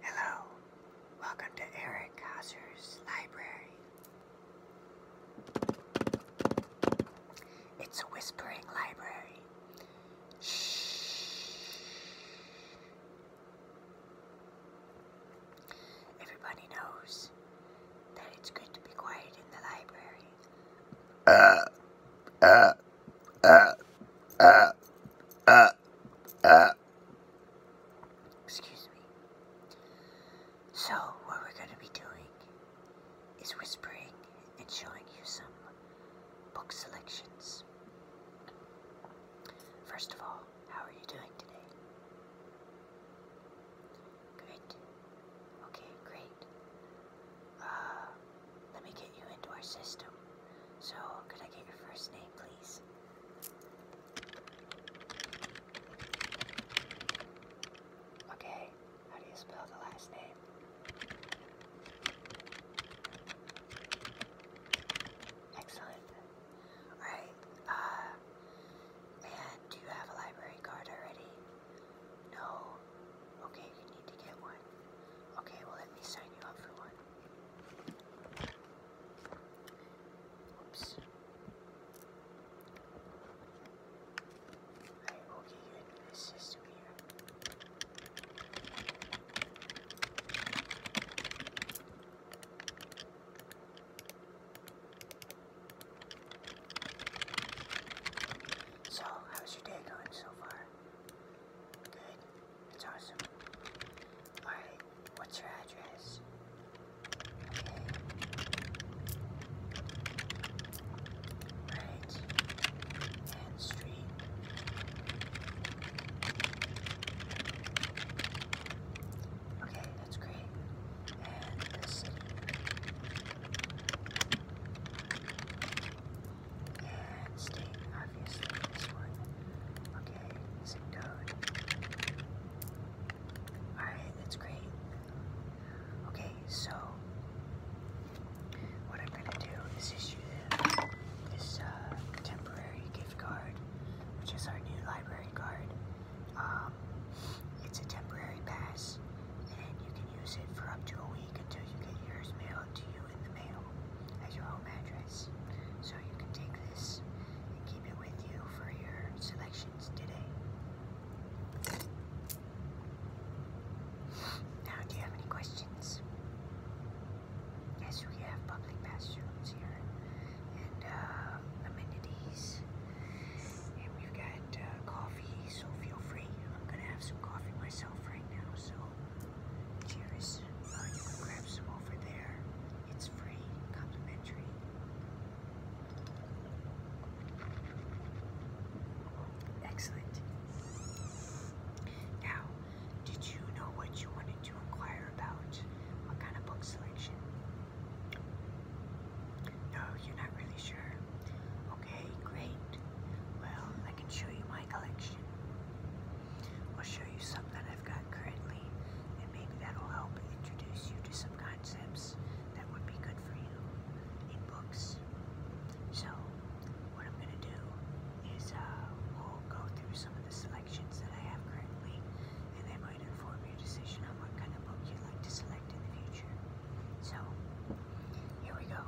Hello, welcome to Eric Hauser's library. It's a whispering library. Shh. Everybody knows that it's good to be quiet in the library. Uh, uh, uh, uh, uh. uh. Excuse me. So, what we're going to be doing is whispering and showing you some book selections. First of all, how are you doing today? Great. Okay, great. Uh, let me get you into our system. So, could I get your first name, please? Okay, how do you spell the last name? Excellent. Alright, uh, man, do you have a library card already? No? Okay, you need to get one. Okay, well, let me sign you up for one. Oops. Alright, okay, good. This is weird. So, how's your day going so far? Good. It's awesome. Alright, what's your address? Okay. Right. And street. Okay, that's great. And the city and state, obviously, this one. Okay, Alright, that's great. Okay, so what I'm gonna do is issue them this uh, temporary gift card, which is our new library card. Um, it's a temporary pass, and you can use it for up to a week until you get yours mailed to you in the mail at your home address. So you can take this and keep it with you for your selections today. Now, do you have any questions? Yes, we have public bathrooms here and uh, amenities. And we've got uh, coffee, so feel free. I'm going to have some coffee myself right now, so Cheers. grab some over there. It's free, complimentary. Excellent. Now, did you know what you wanted to inquire about? What kind of book selection? No, you're not really sure. Okay, great. Well, I can show you my collection. I'll show you some that I've got currently, and maybe that'll help introduce you to some concepts that would be good for you in books. So, what I'm going to do is uh, we'll go through some of the selections that I have currently, and that might inform your decision on what kind of book you'd like to select in the future. So, here we go.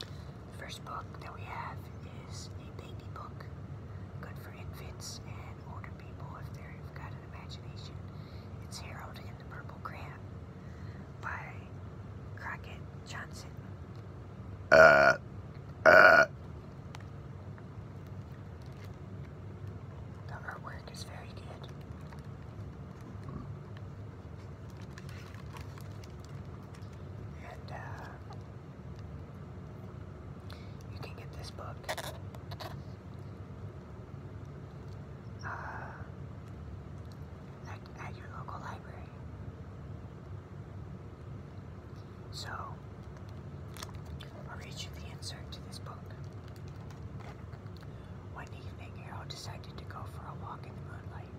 The first book that we have is a baby book, good for infants and older people if they've got an imagination. It's Harold in the Purple Crayon by Crockett Johnson. Uh, uh. The artwork is very good. And uh, you can get this book. Uh, at your local library. So, I'll read you the insert to this book. One evening, Harold decided to go for a walk in the moonlight,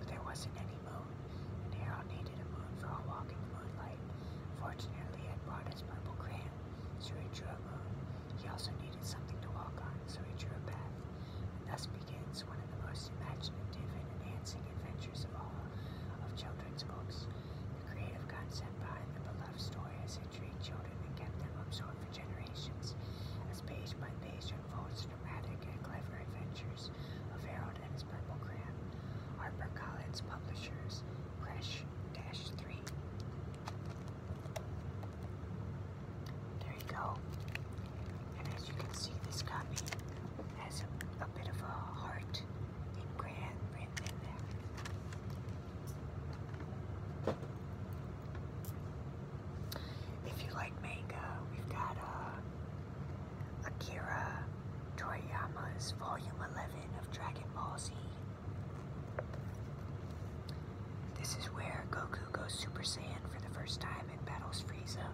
but there wasn't any and Harold needed a moon for a walk in the moonlight. Fortunately, it brought his purple crayon, so he drew a moon. He also needed something to walk on, so he drew a path. And thus begins one of the most imaginative and enhancing adventures of all of children's books. The creative concept behind the beloved story has intrigued children and kept them absorbed for generations. As page by page unfolds dramatic and clever adventures of Harold and Collins Purple Crayon, HarperCollins Publishers, Fresh Dash 3. There you go. And as you can see, this copy has a, bit of a heart in grand written in there. If you like manga, we've got uh, Akira Toriyama's Volume 11 of Dragon Ball Z. This is where Goku goes Super Saiyan for the first time and battles Frieza.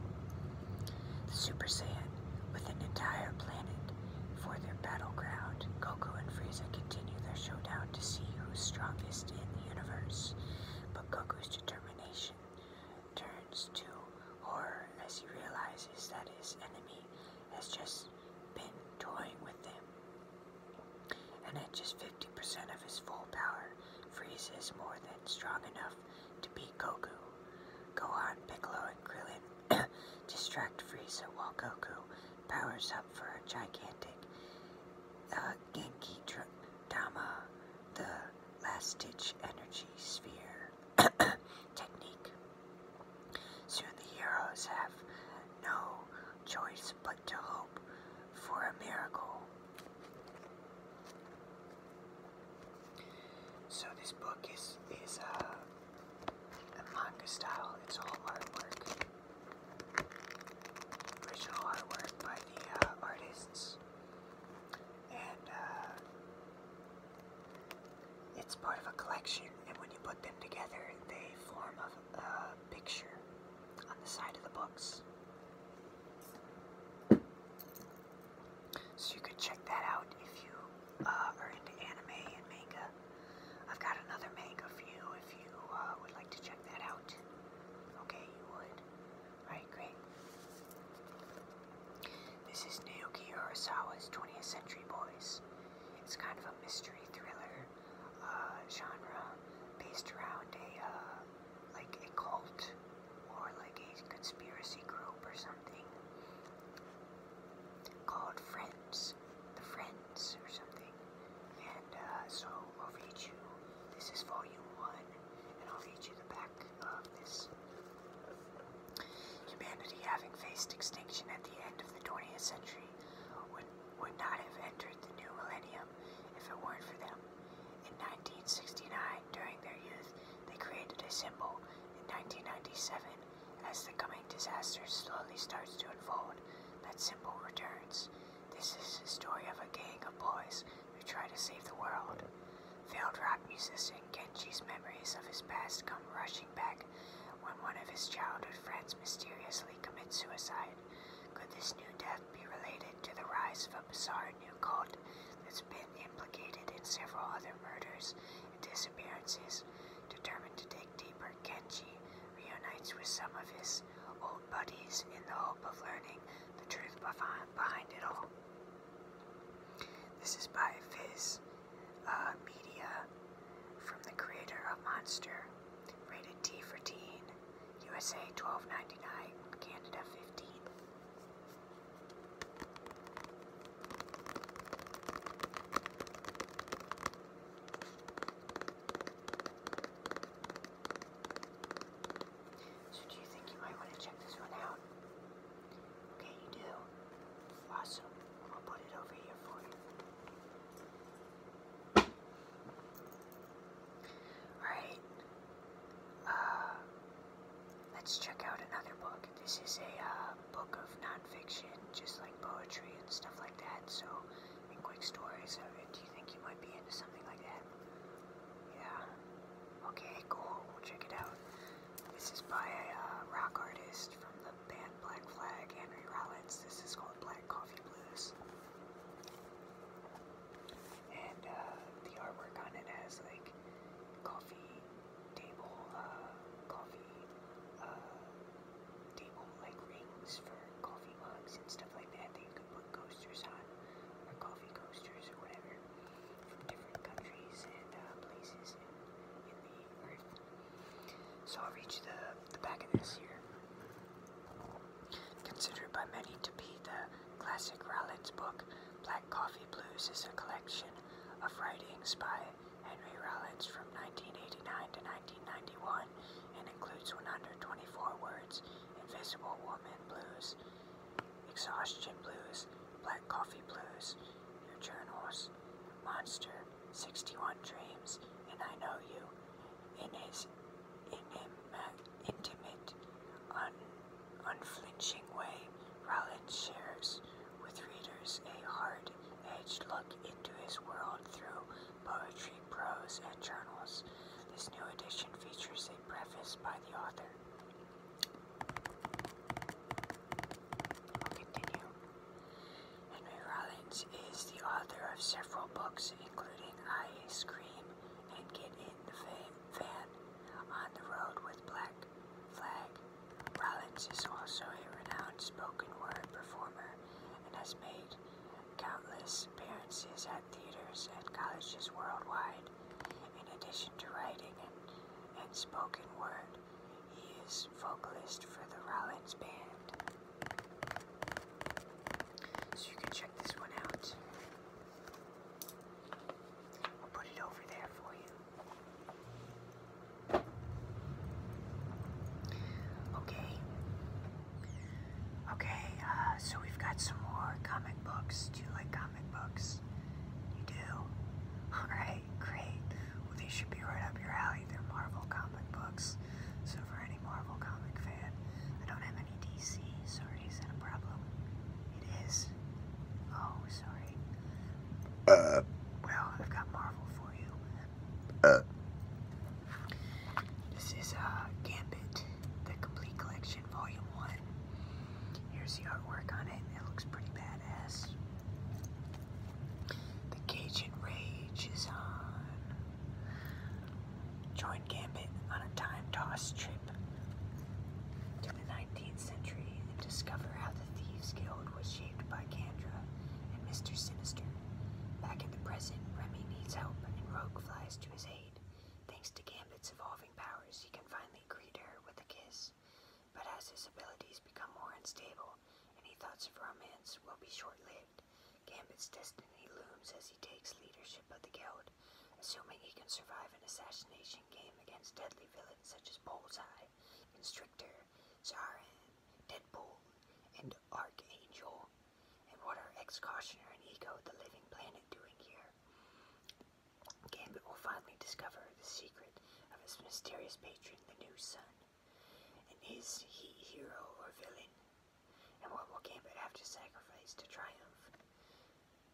The Super Saiyan with an entire planet for their battleground. Goku and Frieza continue their showdown to see who's strongest in the universe, but Goku's determination turns to horror as he realizes that his enemy has just been toying with him. And at just 50% of his full power, freezes more than strong enough to beat Goku. Gohan, Piccolo, and Krillin distract Frieza while Goku powers up for a gigantic uh, Genki Dama, the last-ditch energy sphere. technique. Soon the heroes have no choice but to hope for a miracle. So this book is is uh, a manga style. It's all artwork, original artwork by the uh, artists and uh, it's part of a collection. And when you put them together, they form a, picture on the side of the books. So you could check that out if you uh, are into anime and manga. I've got another manga for you if you uh, would like to check that out. Okay, you would. Right, great. This is Naoki Urasawa's 20th Century Boys. It's kind of a mystery thriller uh, genre based around a uh, like a cult or like a conspiracy group or something called Friends, the Friends or something. And uh, so I'll read you. This is Volume One, and I'll read you the back. Humanity, having faced extinction at the end of the 20th century, would, would not have entered the new millennium if it weren't for them. In 1969, during their youth, they created a symbol. In 1997, as the coming disaster slowly starts to unfold, that symbol returns. This is the story of a gang of boys who try to save the world. Failed rock musician Kenji's memories of his past come rushing back when one of his childhood friends mysteriously commits suicide. Could this new death be related to the rise of a bizarre new cult that's been implicated in several other murders and disappearances? Determined to dig deeper, Kenji reunites with some of his old buddies in the hope of learning the truth behind it all. This is by Fizz uh, Media from the creator of Monster, rated T for teen, USA 12.99, Canada 15. So do you think you might want to check this one out? Okay, you do. Awesome. I'm put it over here for you. Alright. Uh, let's check out another book. This is a uh, book of nonfiction, just like poetry and stuff like that. So, in quick stories, do you think you might be into something like that? Yeah. Okay, cool. We'll check it out. This is by a uh, rock artist from the band Black Flag, Henry Rollins. This is called Black Coffee Blues. And uh, the artwork on it has like coffee table, uh, coffee table like rings for coffee mugs and stuff like that that you could put coasters on, or coffee coasters or whatever. Uh, so I'll reach the, the back of this here. Considered by many to be the classic Rollins book, Black Coffee Blues is a collection of writings by Henry Rollins from 1989 to 1991 and includes 124 words, Invisible Woman Blues, Exhaustion Blues, Black Coffee Blues, Your Journals, Monster, 61 Dreams, and I Know You, in his intimate, un unflinching way, Rollins shares with readers a hard-edged look into his world through poetry, prose, and journals. This new edition features a preface by the author. I'll continue. Henry Rollins is the author of several books, including I Scream and Get in the Van on the Road with Black Flag. Rollins is also a renowned spoken word performer and has made countless appearances at theaters and colleges worldwide. In addition to writing and and spoken word. He is vocalist for the Rollins Band. So you can check this one out. I'll put it over there for you. Okay. Okay, uh, so we've got some more comic books. Do you like comic comic books? You do? Alright, great. Well, these should be right up your alley. They're Marvel comic books. So, for any Marvel comic fan, I don't have any DC. Sorry, is that a problem? It is. Oh, sorry. Uh. Well, I've got Marvel for you. Uh. This is uh, Gambit, the Complete Collection, Volume 1. Here's the artwork on it. It looks pretty badass. The Cajun Rage is on. Join Gambit on a time toss trip to the 19th century and discover how the Thieves Guild was shaped by Candra and Mr. Sinister. Back in the present, Remy needs help and Rogue flies to his aid. Thanks to Gambit's evolving powers, he can finally greet her with a kiss but as his abilities become more unstable, any thoughts of romance will be short-lived. Gambit's destiny looms as he takes leadership of the guild, assuming he can survive an assassination game against deadly villains such as Bullseye, Constrictor, Zaran, Deadpool, and Archangel. And what are Ex-Cautioner and Ego, the Living Planet, doing here? Gambit will finally discover the secret of his mysterious patron, the new sun. And is he hero or villain? And what will Gambit have to sacrifice to triumph?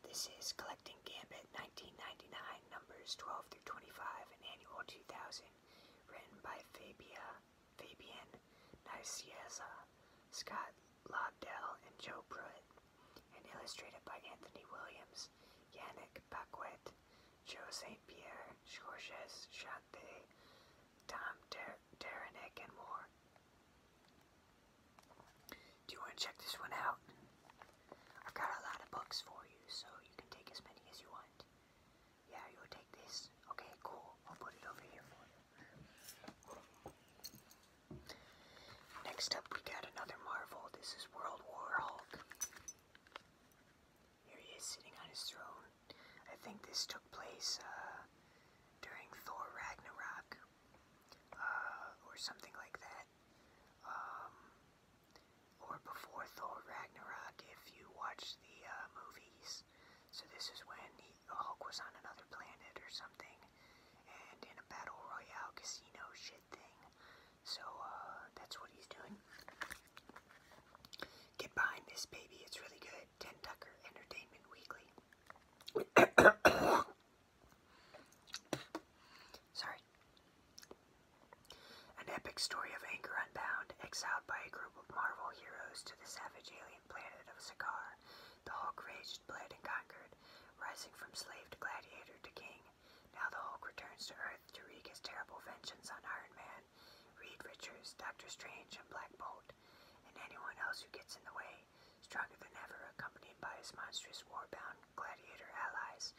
This is Collecting Gambit 1999, numbers 12 through 25, and annual 2000, written by Fabia, Fabian Nicieza, Scott Lobdell, and Joe Pruitt and illustrated by Anthony Williams, Yannick Paquette, Joe St. Pierre, Georges Chante, Tom Der and more. Do you want to check this one out? I've got a lot of books for you, so you can take as many as you want. Yeah, you'll take this? Okay, cool. I'll put it over here for you. Next up, we got another Marvel. This is World War Hulk. Here he is sitting on his throne. I think this took place uh, during Thor Ragnarok uh, or something like that. Um, or before Thor Ragnarok, if you watch the uh, movies. So this is when he, Hulk was on another planet or something, and in a battle royale casino shit. So uh, that's what he's doing. Get behind this baby, it's really good. Ten Tucker Entertainment Weekly. Sorry. An epic story of anger unbound, exiled by a group of Marvel heroes to the savage alien planet of Sakaar. The Hulk raged, bled, and conquered, rising from slave to gladiator to king. Now the Hulk returns to Earth to wreak his terrible vengeance on Iron Man, Reed Richards, Doctor Strange, and Black Bolt, and anyone else who gets in the way, stronger than ever, accompanied by his monstrous war-bound gladiator allies,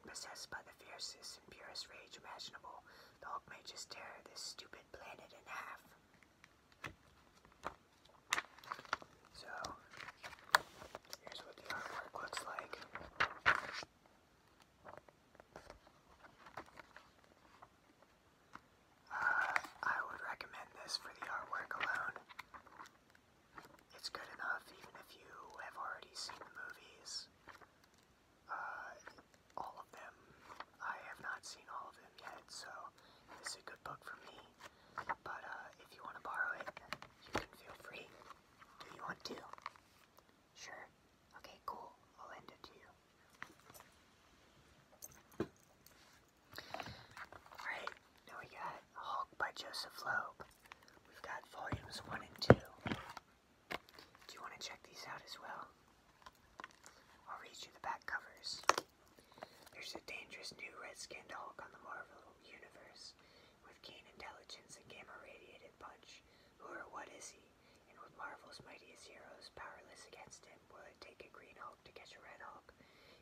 and possessed by the fiercest and purest rage imaginable, the Hulk may just tear this stupid planet in half. So here's what the artwork looks like. Uh, I would recommend this for the artwork alone. It's good enough even if you have already seen the movies. Uh, all of them. I have not seen all of them yet, so this a good book for me. But uh, if you want to borrow it, you can feel free. Do you want to? Sure. Okay, cool. I'll lend it to you. Alright, now we got Hulk by Joseph Loeb. We've got volumes 1 and 2. Do you want to check these out as well? I'll read you the back covers. There's a dangerous new red-skinned Hulk on the Marvel Universe with keen intelligence and gamma-radiated punch. Who or what is he? And with Marvel's mightiest heroes powerless against him, will it take a Green Hulk to catch a Red Hulk?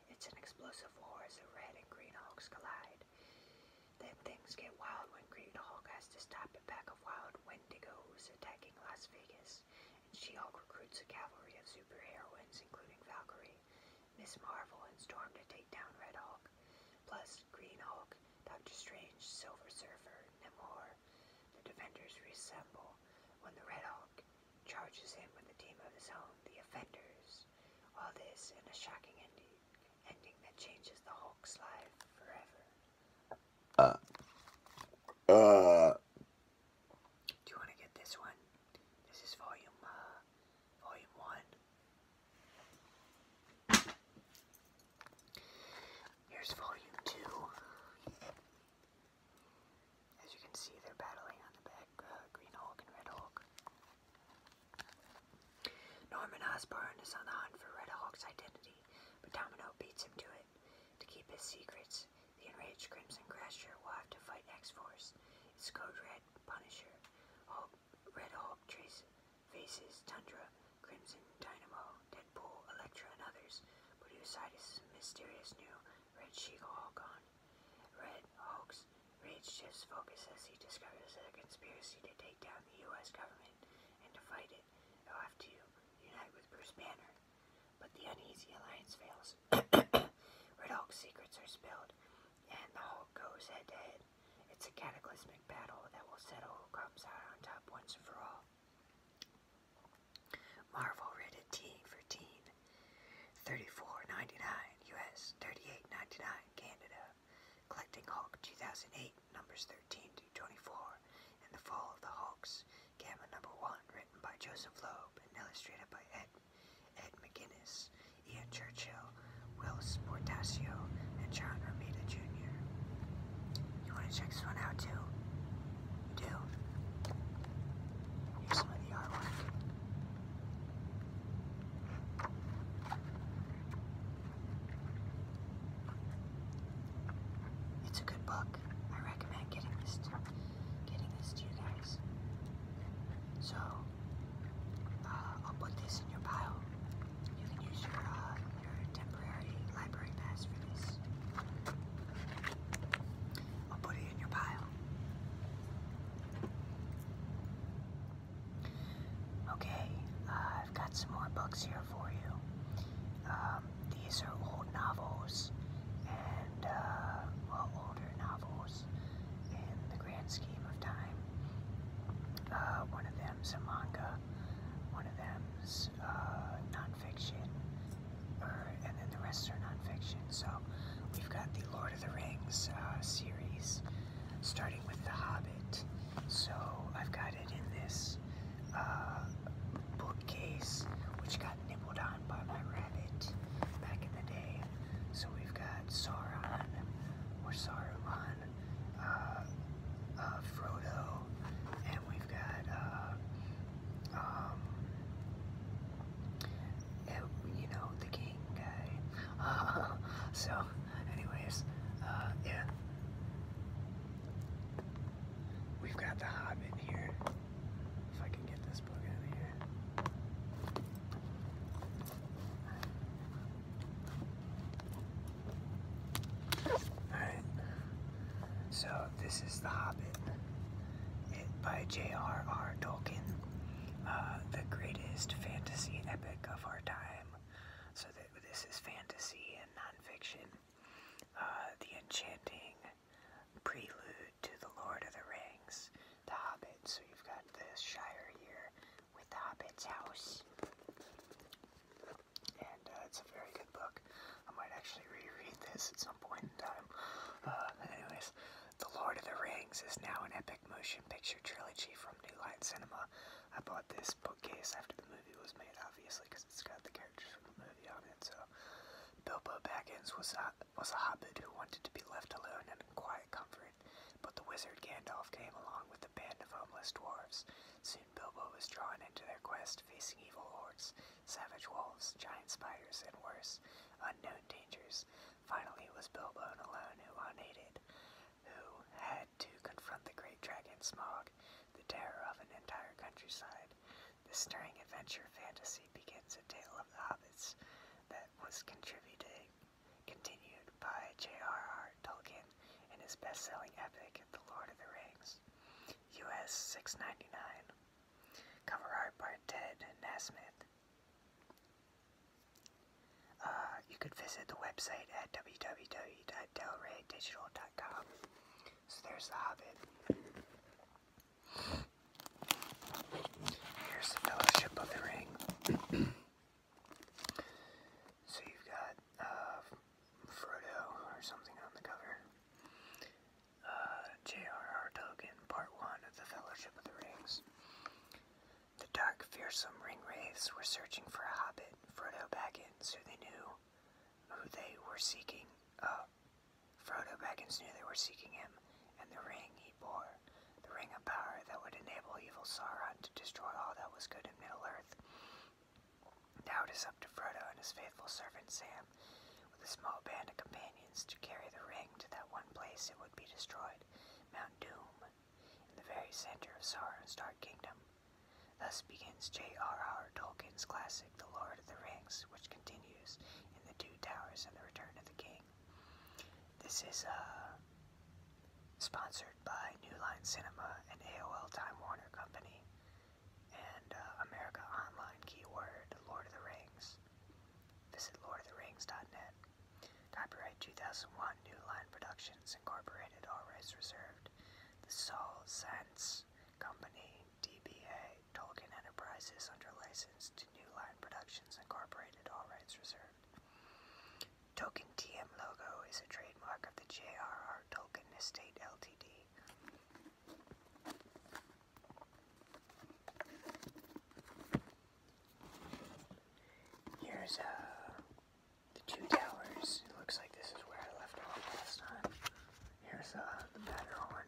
It's an explosive war as the Red and Green Hulks collide. Then things get wild when Green Hulk has to stop a pack of wild Wendigos attacking Las Vegas, and She-Hulk recruits a cavalry of super heroines, including Valkyrie, Miss Marvel and Storm to take down Red Hulk, plus Green Hulk, Doctor Strange, Silver Surfer, Namor. The Defenders reassemble when the Red Hulk charges in with the team of his own, the Offenders. All this in a shocking ending, ending that changes the Hulk's life forever. Uh. Uh. Do you want to get this one? This is volume, uh, volume one, Here's volume two. As you can see, they're battling on the back, uh, Green Hulk and Red Hulk. Norman Osborn is on the hunt for Red Hulk's identity, but Domino beats him to it. To keep his secrets, the enraged Crimson Crasher will have to fight X-Force, its code red Punisher, Red Hulk, traces Faces, Tundra, Crimson, Dynamo, Deadpool, Elektra, and others, but Usidus' mysterious new Red She-Hulk Hulk-On. Red Hulk's rage shifts focus as he discovers a conspiracy to take down the U.S. government, and to fight it, he'll have to unite with Bruce Banner. But the uneasy alliance fails. Red Hulk's secrets are spilled, and the Hulk goes head to head. It's a cataclysmic battle that will settle who comes out on top once and for all. Marvel rated teen for teen. thirty-four ninety-nine US, thirty-eight ninety-nine Canada. Collecting Hulk 2008, numbers 13 to 24, and The Fall of the Hulks, Gamma number 1, written by Joseph Loeb and illustrated by Ed Ed McGinnis, Ian Churchill, Willis Portacio, and John Romita Jr. You want to check this one out too? do? Here's some of the artwork. It's a good book. I recommend getting this getting this to you guys. So uh, I'll put this in your pile. You can use your, uh, your temporary library pass for this. I'll put it in your pile. Okay, uh, I've got some more books here for you. Um, these are old novels and, older novels in the grand scheme of time. Uh, one of them's a manga, one of them's uh, nonfiction, and then the rest are nonfiction. So we've got the Lord of the Rings uh, series, starting with The Hobbit. So I've got it in this bookcase, which got nibbled on by my rabbit back in the day. So we've got had or Saruman, uh, uh, Frodo, and we've got, uh, um, you know, the king guy. so, anyways, yeah. We've got the Hobbit here. If I can get this book out of here. Alright, so this is The Hobbit by J.R.R. Tolkien, uh, the greatest fantasy epic of our time. So this is fantasy and nonfiction. Uh, the enchanting prelude to The Lord of the Rings, The Hobbit. So you've got this Shire here, with The Hobbit's House. And uh, it's a very good book. I might actually reread this at some point in time. Uh, anyways, The Lord of the Rings is now an epic motion picture trilogy from New Line Cinema. I bought this bookcase after the movie was made, obviously, because it's got the characters from the movie on it. So, Bilbo Baggins was a, was a hobbit who wanted to be left alone and in quiet comfort but the wizard Gandalf came along with a band of homeless dwarves. Soon Bilbo was drawn into their quest, facing evil hordes, savage wolves, giant spiders, and worse, unknown dangers. Finally, it was Bilbo alone who unaided, who had to confront the great dragon Smog, the terror of an entire countryside. This stirring adventure fantasy begins a tale of the hobbits that was contributed continued by J.R.R. Tolkien in his best-selling epic, The Lord of the Rings, U.S. six ninety nine. Cover art by Ted Nasmyth. Uh, you could visit the website at www.delraydigital.com. So there's The Hobbit. Here's The Fellowship of the Ring. So you've got uh, Frodo or something on the cover. Uh, J.R.R. Tolkien, Part 1 of The Fellowship of the Rings. The dark, fearsome ring wraiths were searching for a hobbit, Frodo Baggins, who they knew who they were seeking. Uh, Frodo Baggins knew they were seeking him, and the ring the ring of power that would enable evil Sauron to destroy all that was good in Middle-earth. Now it is up to Frodo and his faithful servant Sam, with a small band of companions, to carry the ring to that one place it would be destroyed, Mount Doom, in the very center of Sauron's Dark Kingdom. Thus begins J.R.R. Tolkien's classic, The Lord of the Rings, which continues in The Two Towers and The Return of the King. This is, uh, Sponsored by New Line Cinema and AOL Time Warner Company and uh, America Online keyword Lord of the Rings. Visit lordoftheRings.net. Copyright 2001 New Line Productions Incorporated, all rights reserved. The Soul Sense Company, DBA, Tolkien Enterprises, under license to New Line Productions Incorporated, all rights reserved. Token TM logo is a trademark of the J.R.R. Tolkien Estate Ltd. Here's uh, the two towers. looks like this is where I left off last time. Here's uh, the Matterhorn.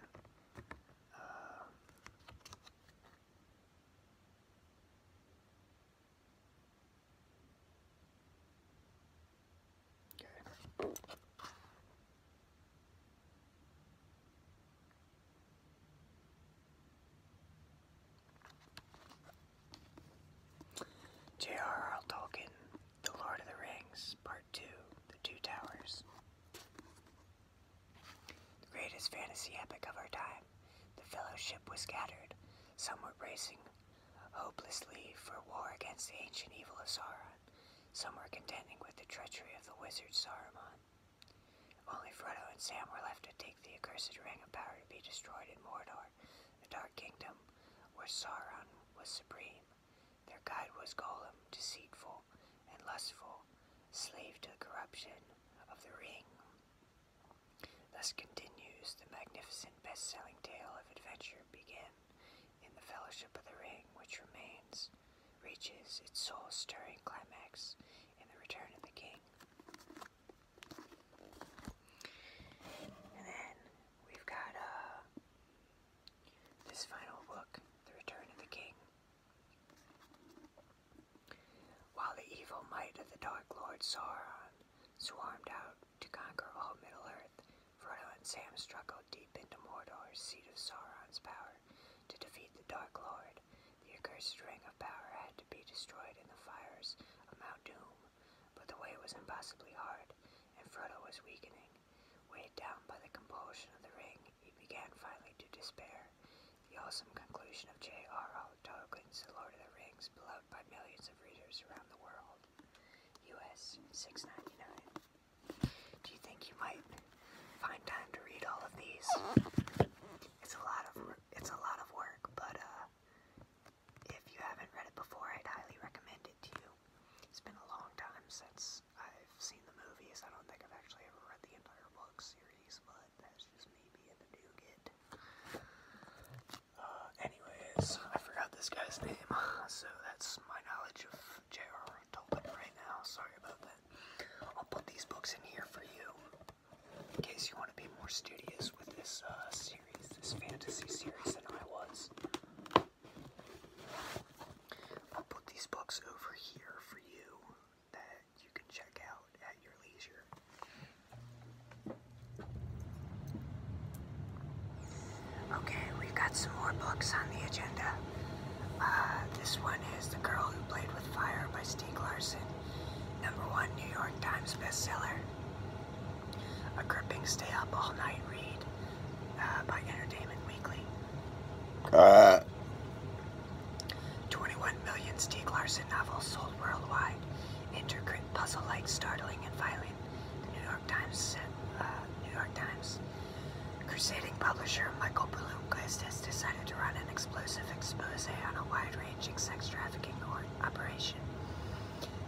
Uh, J.R.R. Tolkien, The Lord of the Rings, Part 2, The Two Towers. The greatest fantasy epic of our time the fellowship was scattered. Some were racing hopelessly for war against the ancient evil of Sauron. Some were contending with the treachery of the wizard Saruman. Only Frodo and Sam were left to take the accursed Ring of Power to be destroyed in Mordor, the Dark Kingdom, where Sauron was supreme. Their guide was Gollum, deceitful and lustful, slave to the corruption of the Ring. Thus continues the magnificent best-selling tale of adventure began in The Fellowship of the Ring, which remains, reaches its soul-stirring climax in The Return of the King. And then we've got uh, this final book, The Return of the King. While the evil might of the Dark Lord Sauron swarmed out to conquer all Middle-earth, Frodo and Sam struggled deep into Mordor's seat of Sauron's power to defeat the Dark Lord. The accursed Ring of Power had to be destroyed in the fires of Mount Doom, but the way was impossibly hard, and Frodo was weakening. Weighed down by the compulsion of the ring, he began finally to despair. The awesome conclusion of J.R.R. Tolkien's The Lord of the Rings, beloved by millions of readers around the world. US six ninety nine. Do you think you might find time to read all of these? It's a lot of it's a lot of work, but uh, if you haven't read it before, I'd highly recommend it to you. It's been a long time since I've seen the movies. I don't think I've actually ever read the entire book series, but that's just me being a nougat. Uh, anyways, I forgot this guy's name, so that's my knowledge of J.R.R. Tolkien right now. Sorry about that. I'll put these books in here for you in case you want to be more studious with this uh, series, this fantasy series than I was. I'll put these books over here for you you can check out at your leisure. Okay, we've got some more books on the agenda. Uh, this one is The Girl Who Played with Fire by Stieg Larsson, number one New York Times bestseller. A gripping stay up all night read uh, by Entertainment Weekly. Uh. 21 million Steve Larsson novels sold worldwide. Intricate, puzzle-like, startling, and violent. The New York Times said, uh, New York Times. Crusading publisher Michael Bloomquist has decided to run an explosive expose on a wide-ranging sex trafficking operation.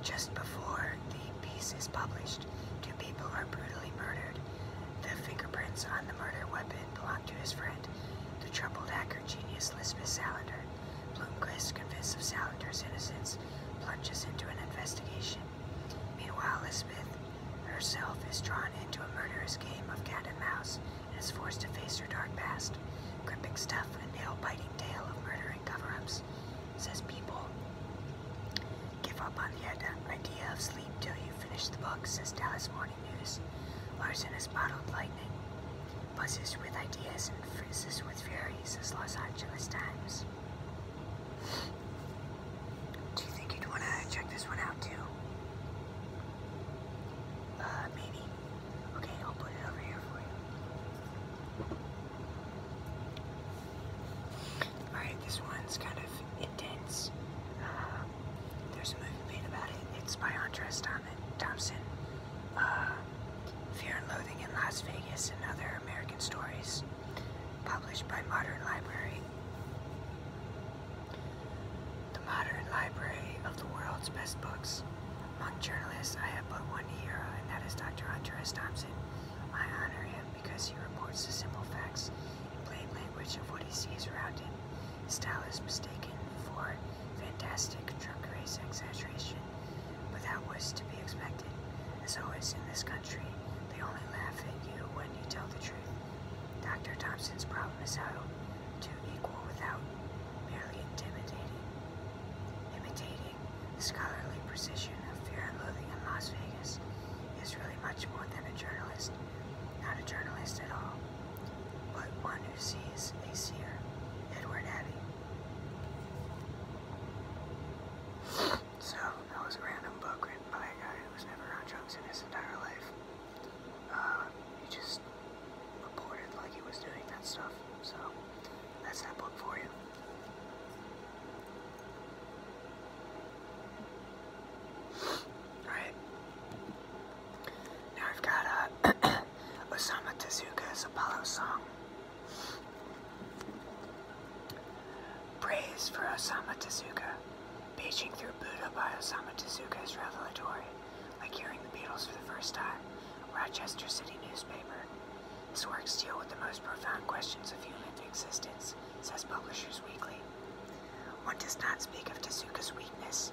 Just before the piece is published, two people are brutally murdered. The fingerprints on the murder weapon belong to his friend, the troubled hacker genius Lisbeth Salander. Blumquist, convinced of Salander's innocence, plunges into an investigation. Meanwhile, Elizabeth herself is drawn into a murderous game of cat and mouse and is forced to face her dark past, gripping stuff and nail-biting tale of murder and cover-ups. Says people, give up on the idea of sleep till you finish the book, says Dallas Morning News. Larson is bottled lightning buzzes with ideas and frizzes with fury, as Los Angeles Times. Do you think you'd want to check this one out too? Uh, maybe. Okay, I'll put it over here for you. Alright, this one's kind of intense. Uh, there's a movie made about it. It's by Andres Thompson. Uh, Fear and Loathing in Las Vegas and Other American Stories, published by Modern Library. The Modern Library of the World's Best Books. Among journalists, I have but one hero, and that is Dr. Hunter S. Thompson. I honor him because he reports the simple facts in plain language of what he sees around him style is mistaken for fantastic truck race exaggeration, but that was to be expected. As always, in this country, they only laugh at you when you tell the truth. Dr. Thompson's problem is how to equal without merely intimidating. Imitating the scholarly precision of fear and loathing in Las Vegas is really much more than a journalist. Not a journalist at all but one who sees a seer. Edward Abbey. So, that was a random book written by a guy who was never on drugs in his entire life. Uh, he just reported like he was doing that stuff. So, that's that book for you. Alright. Now I've got uh, a. Osamu Tezuka's Apollo song. Praise for Osamu Tezuka. Paging through Buddha by Osamu Tezuka is revelatory, like hearing the Beatles for the first time. Rochester City newspaper. His works deal with the most profound questions of human existence, says Publishers Weekly. One does not speak of Tezuka's weakness,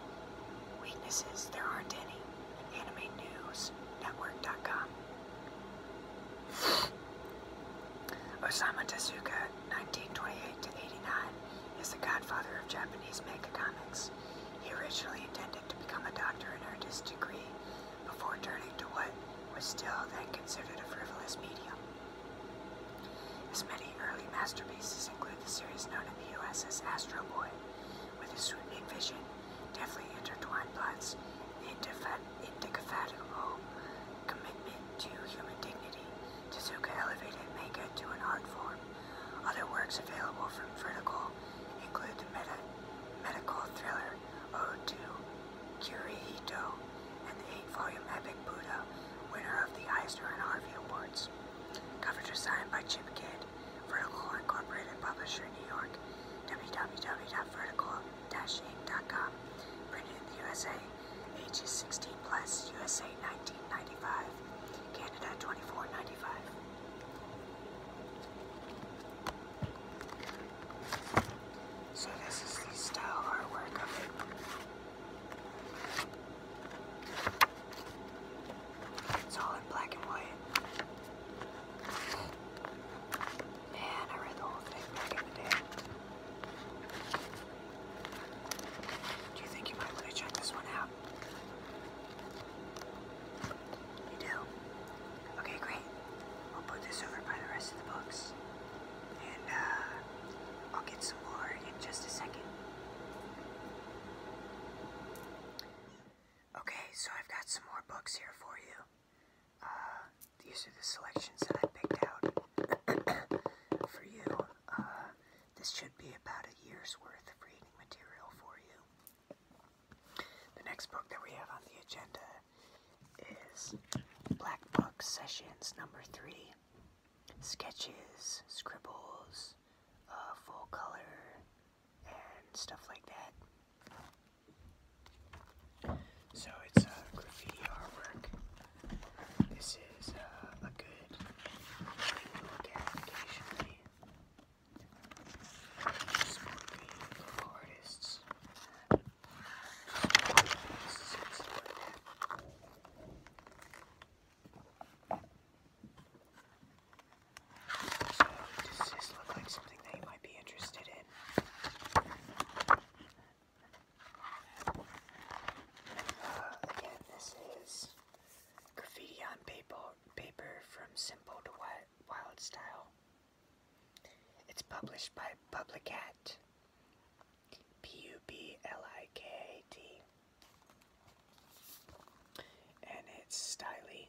Weaknesses, there aren't any. Anime News Network.com. Osama Tezuka, 1928 to 89, is the godfather of Japanese manga comics. He originally intended to become a doctor in earned his degree before turning to what was still then considered a frivolous medium. His many early masterpieces include the series known in the U.S. as Astro Boy, with his sweeping vision, deftly intertwined plots, and indefatigable commitment to human dignity. Tezuka elevated manga to an art form. Other works available from Vertical include the meta medical thriller Ode to Kurihito* and the eight-volume epic Buddha, winner of the Eisner and Harvey Awards. Cover design by Chip Kidd Vertical Incorporated Publisher, New York, www.vertical-inc.com, printed in the USA, ages 16 plus, USA 1995, Canada 2495. So this is the style artwork of it. It's all in black and white. Man, I read the whole thing back in the day. Do you think you might want to check this one out? You do? Okay, great. I'll put this over by the rest of the books. And uh, I'll get some more in just a second. Okay, so I've got some more books here for you. Uh, these are the selections that I picked out for you. Uh, this should be about a year's worth of reading material for you. The next book that we have on the agenda is Black Book Sessions number three. Sketches, scribbles, uh, full color, and stuff like that. So it's graffiti artwork. This is uh, a good look at occasionally. Supporting local artists. artists so, does this look like something that you might be interested in? Uh, again, this is graffiti on paper, paper from simple to wild, wild style. It's published by Publicat. P U B L I K A T and it's styly.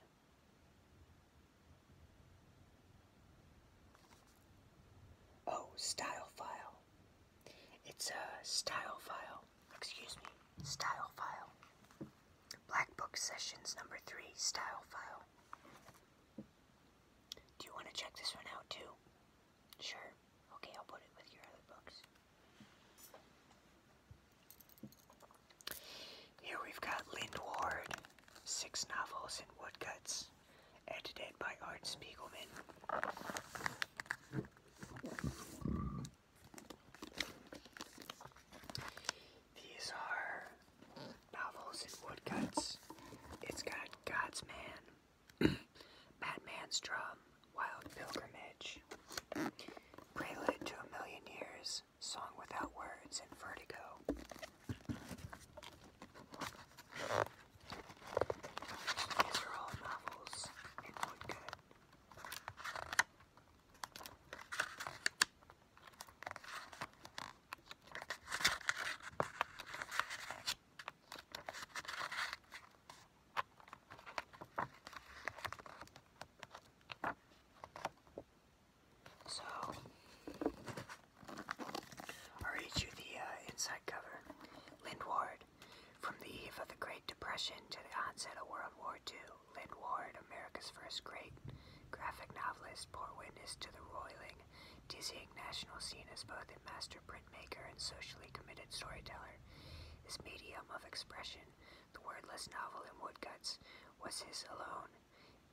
Oh, style file. It's a style file. Excuse me, style file. Black Book Sessions number three, style file. Do you want to check this one out too? Sure. Okay, I'll put it with your other books. Here we've got Lind Ward, six novels in woodcuts, edited by Art Spiegelman. These are novels and woodcuts. It's got God's Man, Batman's Drum, Wild Pilgrimage, Prelude to a Million Years, Song Without Words, and Vertigo. These are all novels in Woodgood. So, i read you the uh, inside cover. Lynn Ward. From the eve of the Great Depression to the onset of World War II, Lind Ward, America's first great graphic novelist, bore witness to the roiling, dizzying national scene as both a master printmaker and socially committed storyteller. His medium of expression the wordless novel in woodcuts was his alone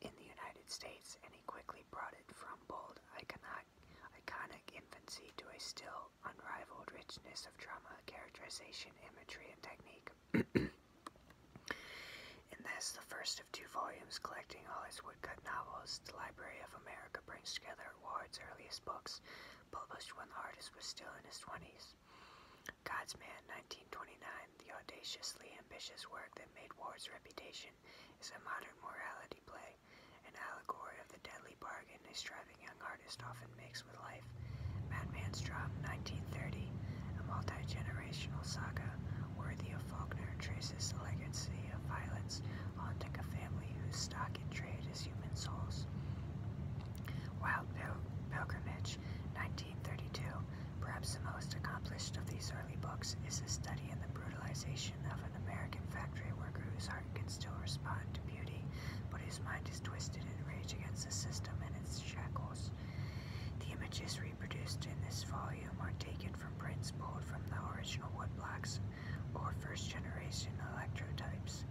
in the United States, and he quickly brought it from bold iconic, iconic infancy to a still unrivaled richness of drama, characterization, imagery, and technique. in this, the first of two volumes collecting all his woodcut novels, the Library of America brings together Ward's earliest books, published when the artist was still in his 20s. God's Man, 1929, the audaciously ambitious work that made Ward's reputation, is a modern morality play, an allegory of the deadly bargain a striving young artist often makes with life. Madman's Drum, 1930, a multi-generational saga worthy of Faulkner, traces the legacy of violence haunting a family whose stock in trade is human souls. Wild Pil Pilgrimage, 1932. Perhaps the most accomplished of these early books is his study in the brutalization of an American factory worker whose heart can still respond to beauty, but whose mind is twisted in rage against the system and its shackles. The images reproduced in this volume are taken from prints pulled from the original woodblocks or first generation electrotypes.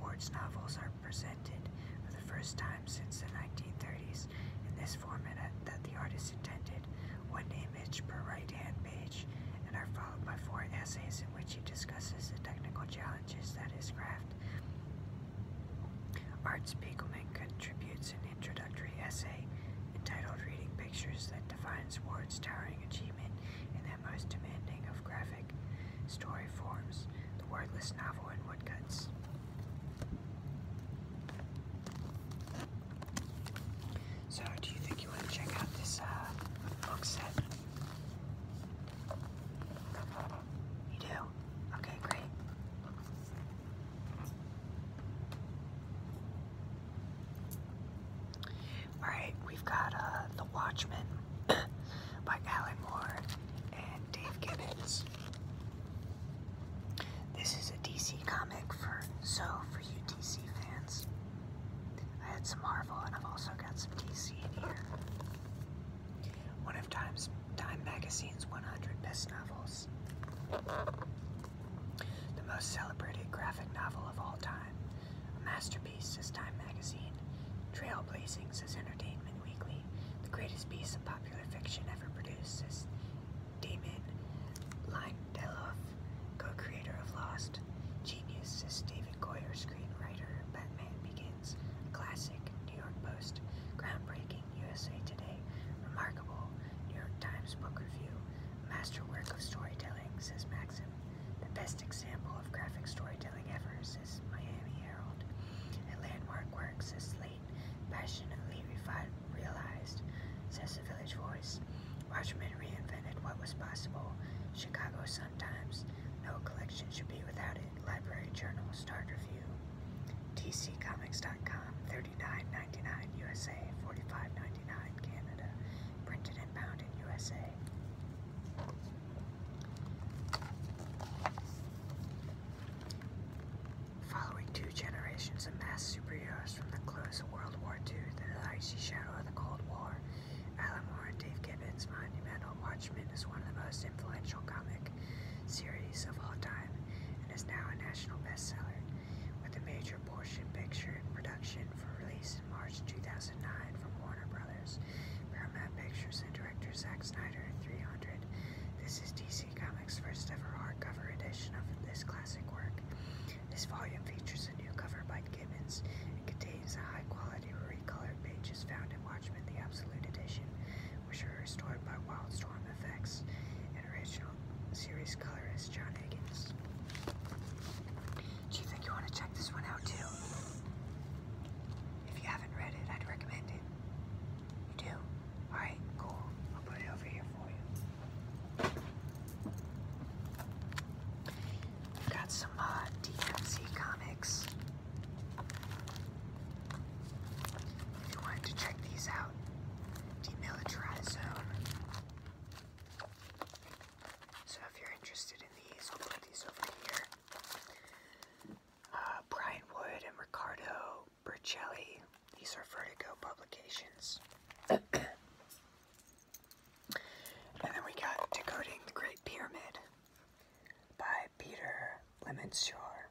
Ward's novels are presented for the first time since the 1930s in this format that the artist intended, one image per right-hand page, and are followed by four essays in which he discusses the technical challenges that his craft. Art Spiegelman contributes an introductory essay entitled Reading Pictures that defines Ward's towering achievement in that most demanding of graphic story forms, the wordless novel, and woodcuts. So, do you think you want to check out this uh, book set? You do? Okay, great. Alright, we've got uh, The Watchmen by Alan Moore and Dave Gibbons. This is a DC comic for so for you DC fans. I had some Marvel and I've also got some DC in here. One of Time's Time Magazine's 100 best novels. The most celebrated graphic novel of all time. A masterpiece is Time Magazine, trailblazing as entertainment. Weekly, the greatest piece of popular fiction ever produced is Damon Lindelof, co-creator of Lost. Genius is David Goyer, screenwriter. Batman Begins, classic. New York Post, groundbreaking. USA Today, remarkable. New York Times book review, masterwork of storytelling. Says Maxim, the best example of graphic storytelling ever. Publicis, Miami Herald, and landmark works as late passionately realized, says the Village Voice. Watchmen reinvented what was possible. Chicago Sun-Times, no collection should be without it. Library Journal, Start Review. TCComics.com, 39.99 USA, 45.99 Canada. Printed and bound in USA. Following two generations of mass superheroes from the close of World War II to the icy shadow of the Cold War, Alan Moore and Dave Gibbons' monumental Watchmen is one of the most influential comic series of all time and is now a national bestseller, with a major portion picture in production for release in March 2009 from Warner Brothers. Paramount Pictures and director Zack Snyder in 300. This is DC Comics' first ever hardcover edition of this classic work. This volume features a new cover by Gibbons and contains the high-quality re-colored pages found in Watchmen: The Absolute Edition, which were restored by Wildstorm Effects and original series colorist John Higgins. Do you think you want to check this one out too? If you haven't read it, I'd recommend it. You do? Alright, cool. I'll put it over here for you. We've got some uh, comics. If you wanted to check these out, Demilitarized Zone. So if you're interested in these, I'll put these over here. Uh, Brian Wood and Ricardo Bercelli. These are Vertigo publications. and then we got Decoding the Great Pyramid by Peter Lemonshore.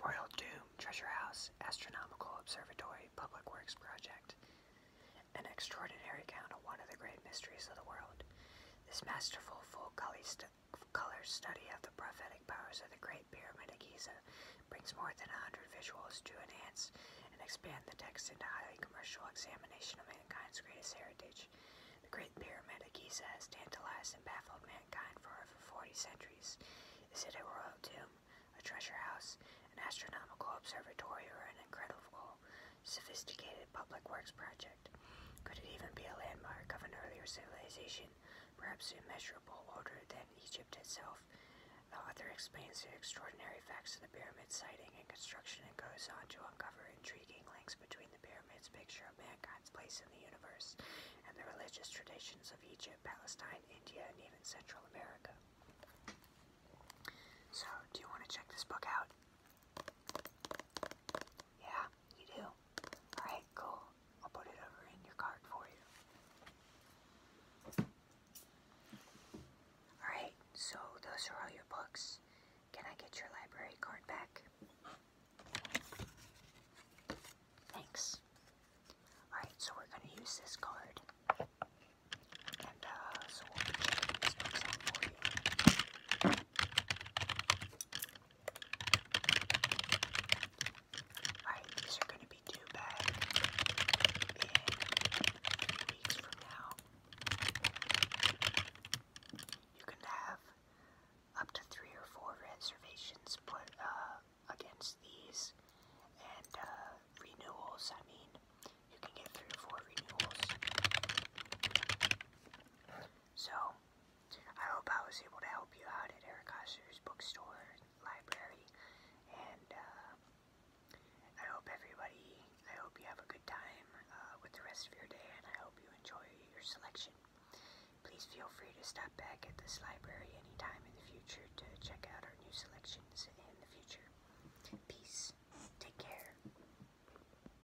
Royal Doom, Treasure House, Astronomical Observatory, Public Works Project. An extraordinary account of one of the great mysteries of the world. This masterful full-color study of the prophetic powers of the Great Pyramid of Giza brings more than a hundred visuals to enhance and expand the text into a highly commercial examination of mankind's greatest heritage. The Great Pyramid of Giza has tantalized and baffled mankind for over 40 centuries. Is it a royal tomb, a treasure house, an astronomical observatory, or an incredible sophisticated public works project? Could it even be a landmark of an earlier civilization, perhaps immeasurable older than Egypt itself? The author explains the extraordinary facts of the pyramid's sighting and construction and goes on to uncover intriguing links between the pyramid's picture of mankind's place in the universe and the religious traditions of Egypt, Palestine, India, and even Central America. So, do you want to check this book out? Yeah, you do. Alright, cool. I'll put it over in your card for you. Alright, so those are all your books. Can I get your library card back? Thanks. Alright, so we're going to use this card. And uh, so we'll be these books out for you. Alright, these are going to be due back in weeks from now. You can have up to three or four reservations put uh, against these and uh, renewals. I mean, you can get three or four renewals. So, I hope I was able to help you out at Eric Osser's bookstore library, and uh, I hope everybody, I hope you have a good time uh, with the rest of your day, and I hope you enjoy your selection. Please feel free to stop back at this library anytime in the future to check out our new selections in the future. Peace. Take care.